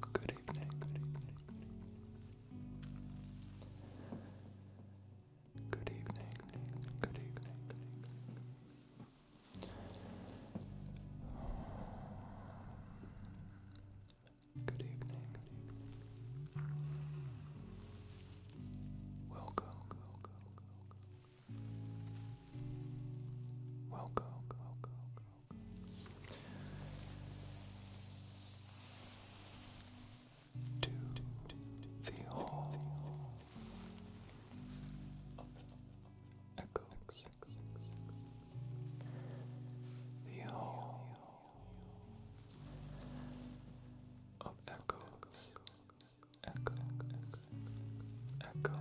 Good evening, good evening. Good evening, Good evening. Welcome. Welcome. To the hall of the hall of echoes, echo, echo, echo,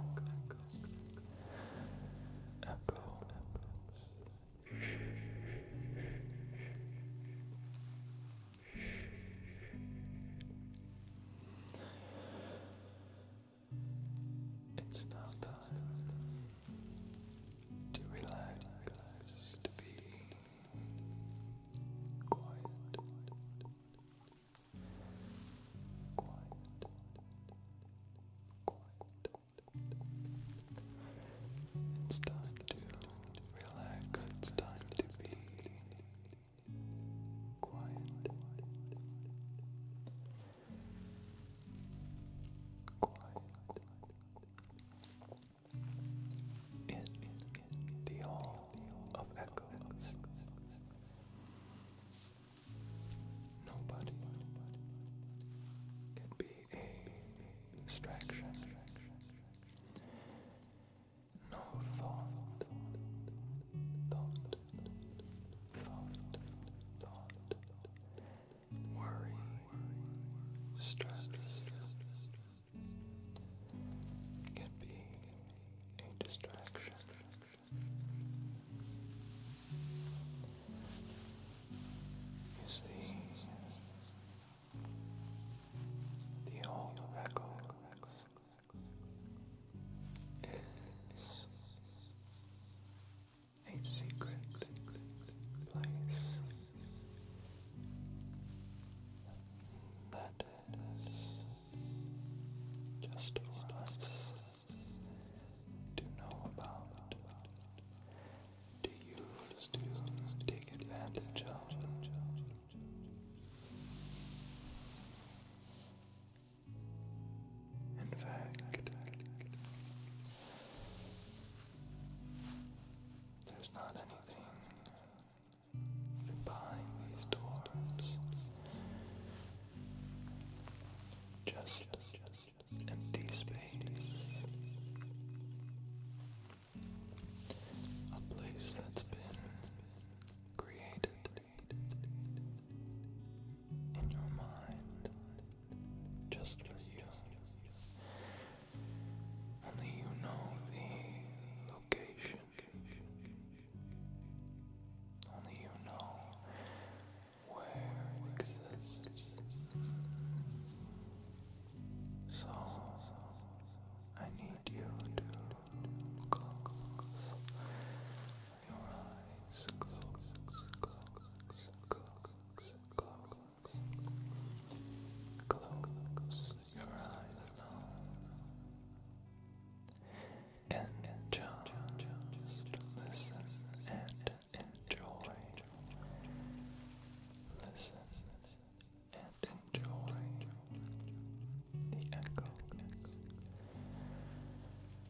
it's now time to relax, to be quiet, quiet, quiet. It's time to relax, it's time to be quiet quiet in the hall of echoes. Nobody can be a distraction. No thought, thought, worry, stress can be a distraction. You the old record is a secret place that is just for to know about, to use, to take advantage of. In fact, there's not anything behind these doors. Just empty space. A place that's been created in your mind, just as you. Only you know the location. Only you know where it exists. So I need you to close your eyes close, your eyes and enjoy. Listen and enjoy the echo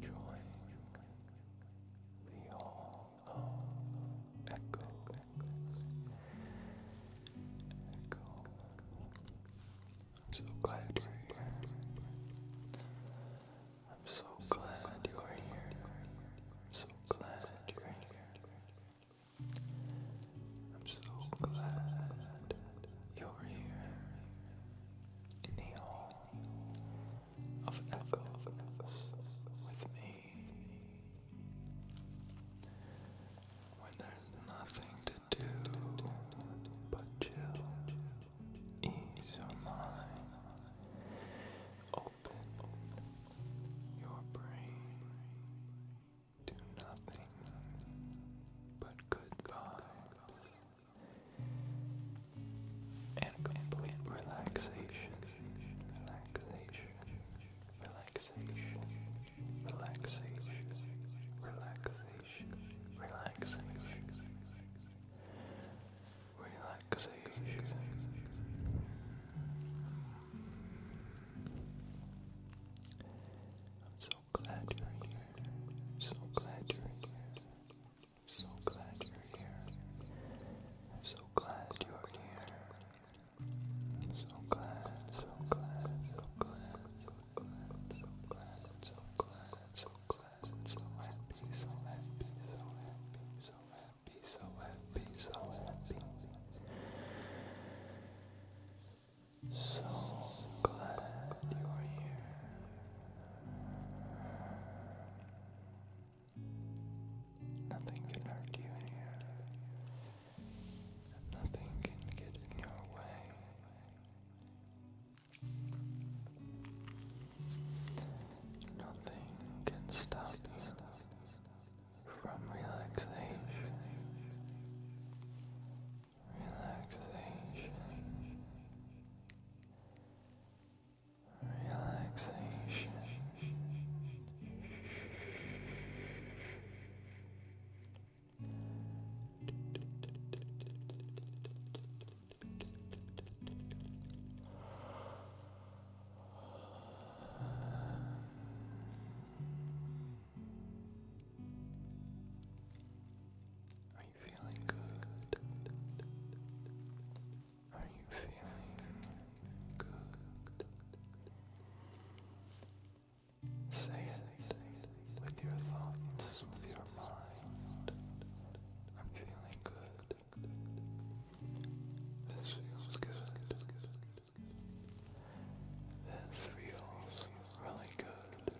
Join the all of echoes. I'm so glad you're here. I'm so glad you are here. I'm so glad you're here. I'm so glad you're here in the hall of echoes with me. When there's nothing to do but chill, ease your mind, open your brain to nothing but good vibes and complete relaxation, relaxation, relaxation, relaxation, relaxation, relaxation, relaxation. I'm so glad you're here. So glad you're here. So glad you're here. I'm so glad you're here. so glad, so glad, so glad, so glad, so glad, so glad, so glad, so happy, so happy, so happy, so happy, so happy. So glad you are here. Nothing can hurt you here. Nothing can get in your way. Nothing can stop you from relaxing relaxation, relaxation you feeling good? Are you feeling good? Say it with your thoughts, with your mind. I'm feeling good. This feels good. This feels really good.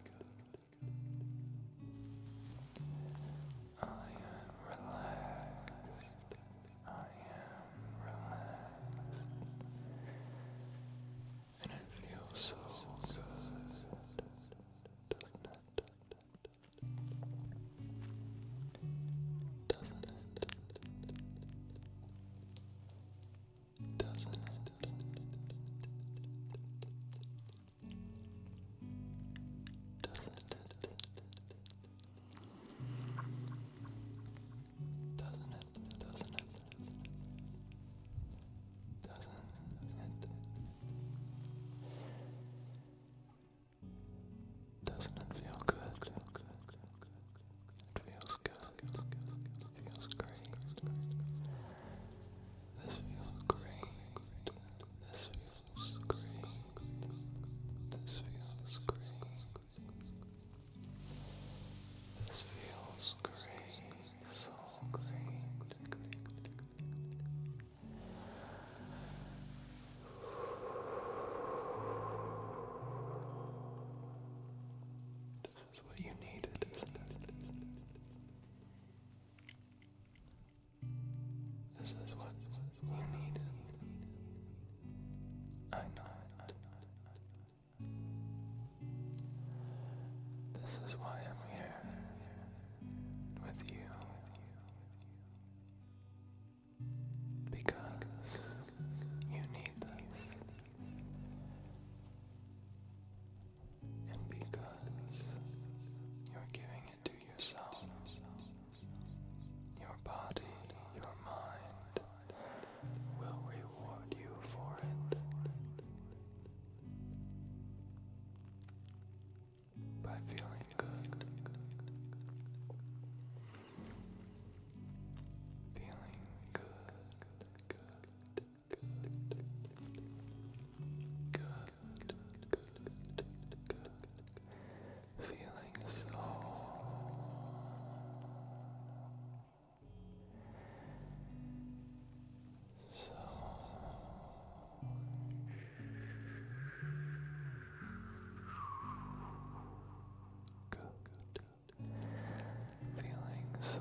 I am relaxed. I am relaxed. And it feels so good, doesn't it? Doesn't it? Doesn't it? Doesn't it? Doesn't it? Doesn't it? Doesn't it feel good? Feel good. It feels good. It feels great. This feels great. This feels great. This feels great. This feels great. This is what you need. This is what you need. I know This is why I'm here with you. Because you need this and because you're giving it to yourself, your body, your mind will reward you for it. By feeling good, feeling good, Good, good, good, Feeling so so good. Feeling so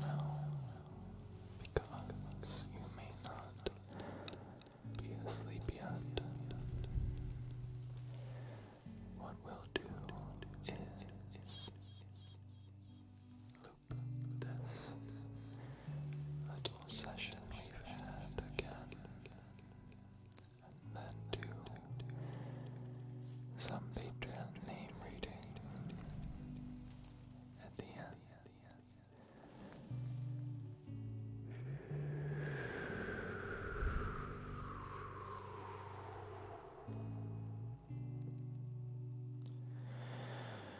Well, because you may not be asleep yet, what we'll do is loop this little session we've had again, and then do some Patreon name reading at the end.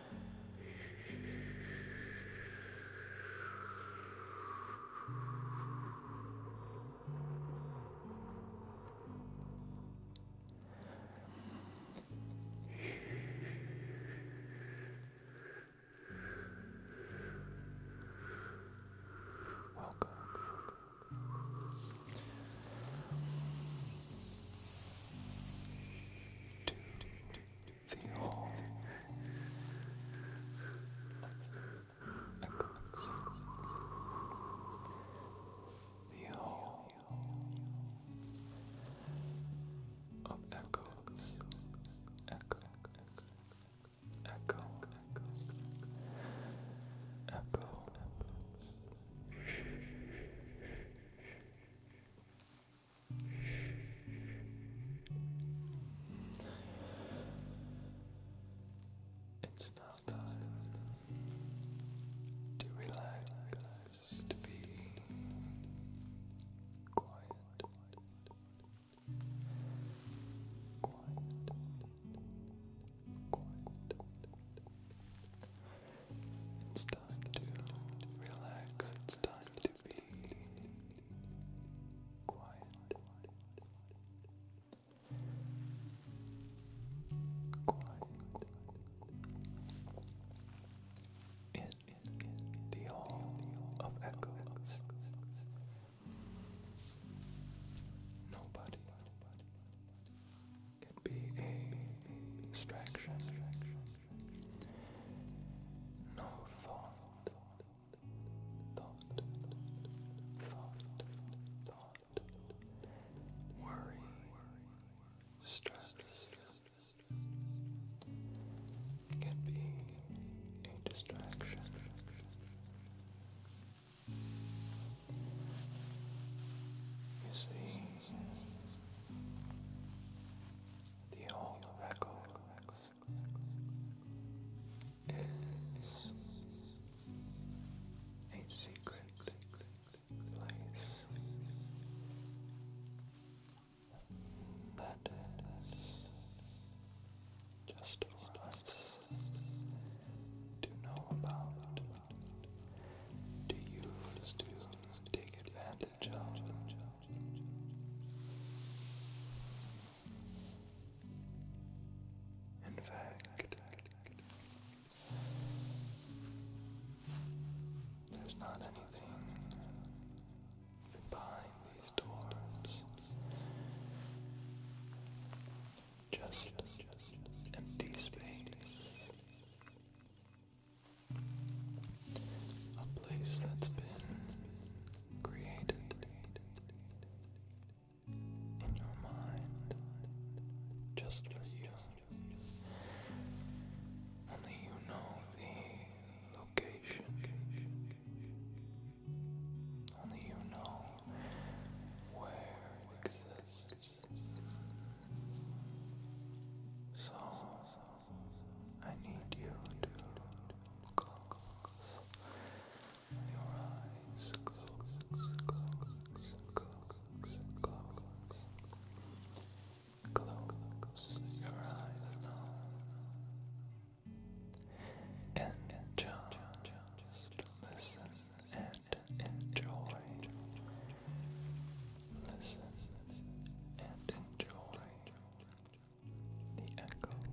Welcome. To the whole the whole of echoes echo echo echo echo it's now time to relax, to be quiet, quiet, quiet. It's time to relax. It's time to be quiet, quiet in the hall of echoes. Nobody can be a distraction. No thought thought, thought, thought, worry, stress can be a distraction. You see, the old record is a secret place that is just for us to know about, to use, to take advantage in fact, there's not anything behind these doors. Just empty space a place that's been created in your mind just for you. Only you know the location. Only you know where it exists. So I need you to close your eyes. Close, close, close, close. your eyes now. And just listen and enjoy. Listen and enjoy the echo. Now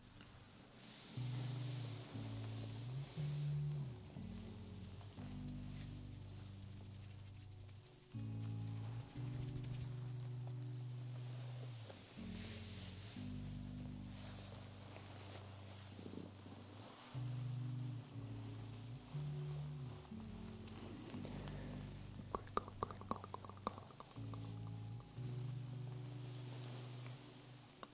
Crinkle, crinkle, crinkle.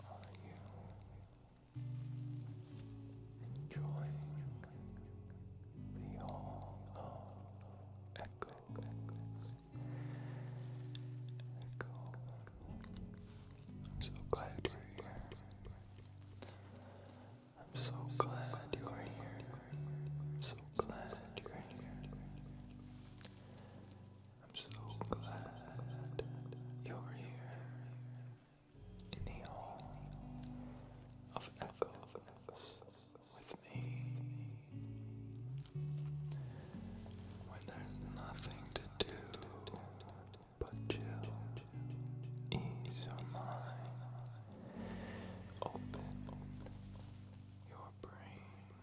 Are you enjoying the all of Echo. I'm so glad you're here. I'm so glad you are here. I'm so glad you're here. I'm so glad you're here in the hall of echo with me when there's nothing to do but chill, ease your mind, open your brain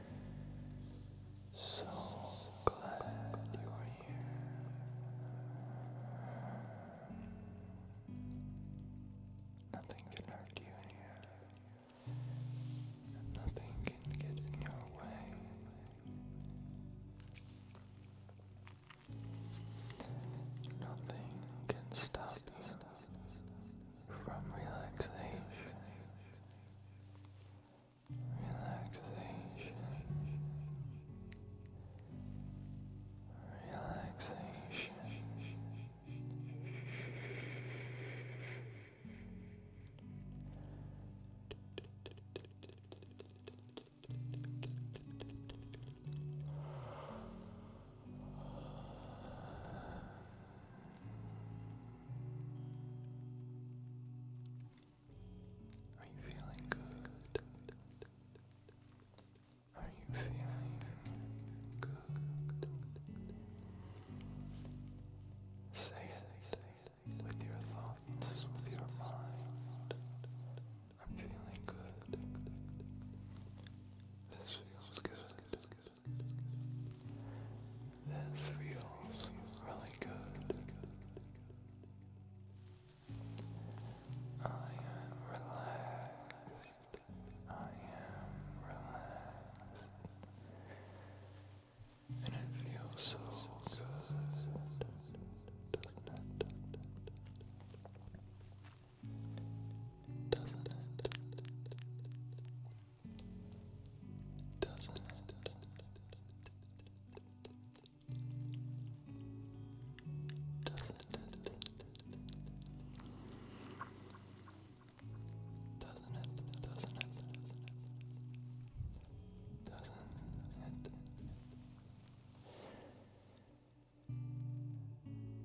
So glad you are here. Nothing can hurt you here. Nothing can get in your way. Nothing can stop you from relaxation. Relaxation. Relaxation. Relaxation. Are you feeling good? Are you feeling good? Say it with your thoughts, with your mind. I'm feeling good. This feels good. This feels really good. I am relaxed. I am relaxed. And it feels so good doesn't it? Doesn't it? Doesn't it? Doesn't it? Doesn't it?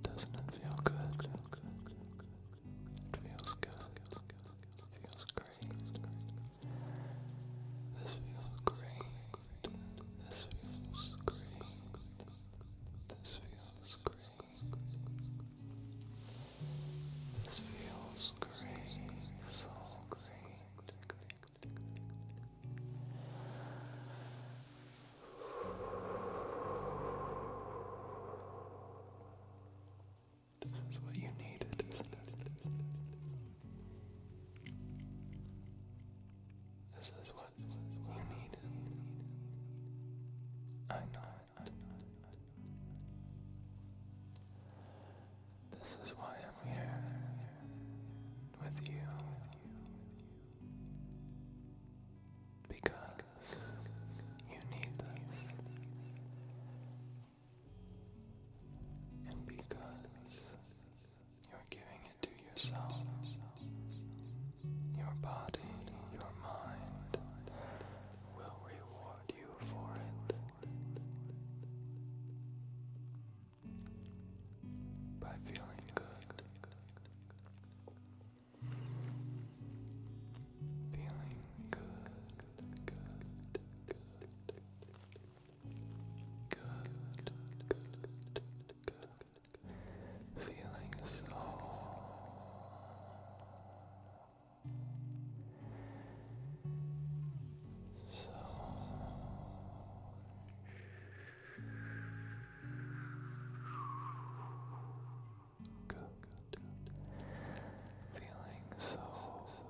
Doesn't it feel good? It feels good. It feels good feels great. This feels great. This feels great. This feels great. This feels great. So This feels great. This is what you needed, This is what you needed. I know I know This is why I'm here with you. Because you need this. And because you're giving it to yourself, your body, your mind will reward you for it. By feeling good, Feeling good, good, good, good, Feeling so so good. Feeling so Good,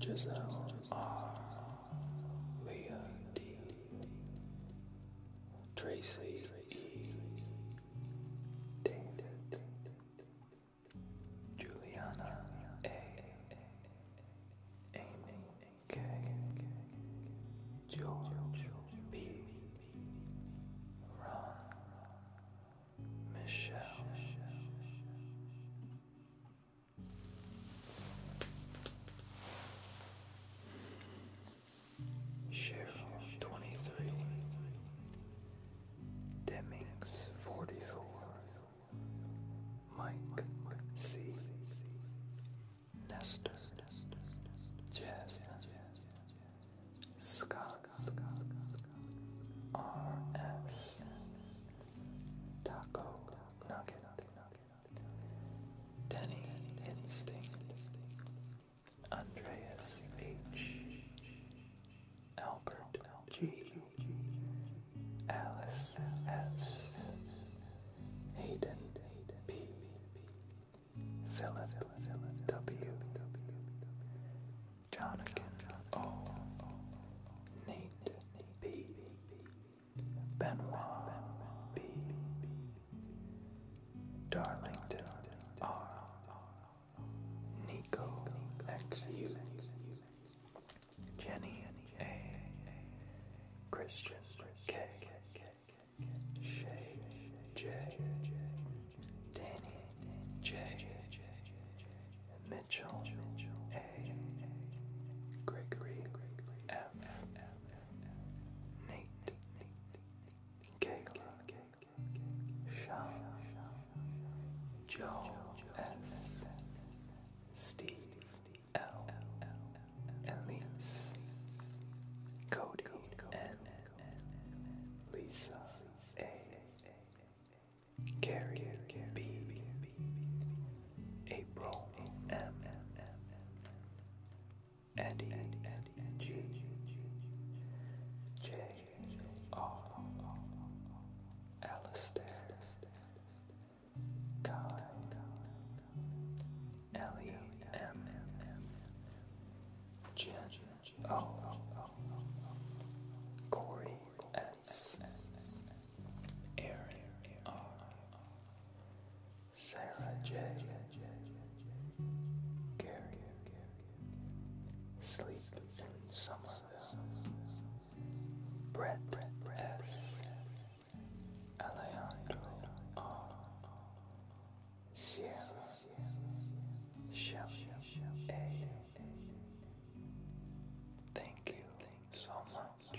Giselle R. Leah D. Tracy E. David. Juliana A. Michelle. Cheryl, 23. Demings, 44. Mike, C. Nestor, Jasmine, Scott, R.S. Taco, Nugget, Danny Instinct, Andreas H, Albert G, Alice S, Hayden P, Philip W, Jonathan O, Nate P. Benoit B. Darlington R. Nico XU. Jenny A. Christian K. Shay J. Danny J. Mitchell A. Gregory M. Nate, Kayla, Sean, Joe S, Steve L, Elise, Cody N, Lisa A, Carrie B, April M. Eddie, Eddie, G, J, R, Alistair, Kai, Ellie, M, Jim, O, Corey, S, Aaron, R, Sarah J. Gary. Sleep in Somerville. Brett S. Alejandro R. Sierra. Shelly A. Thank you so much.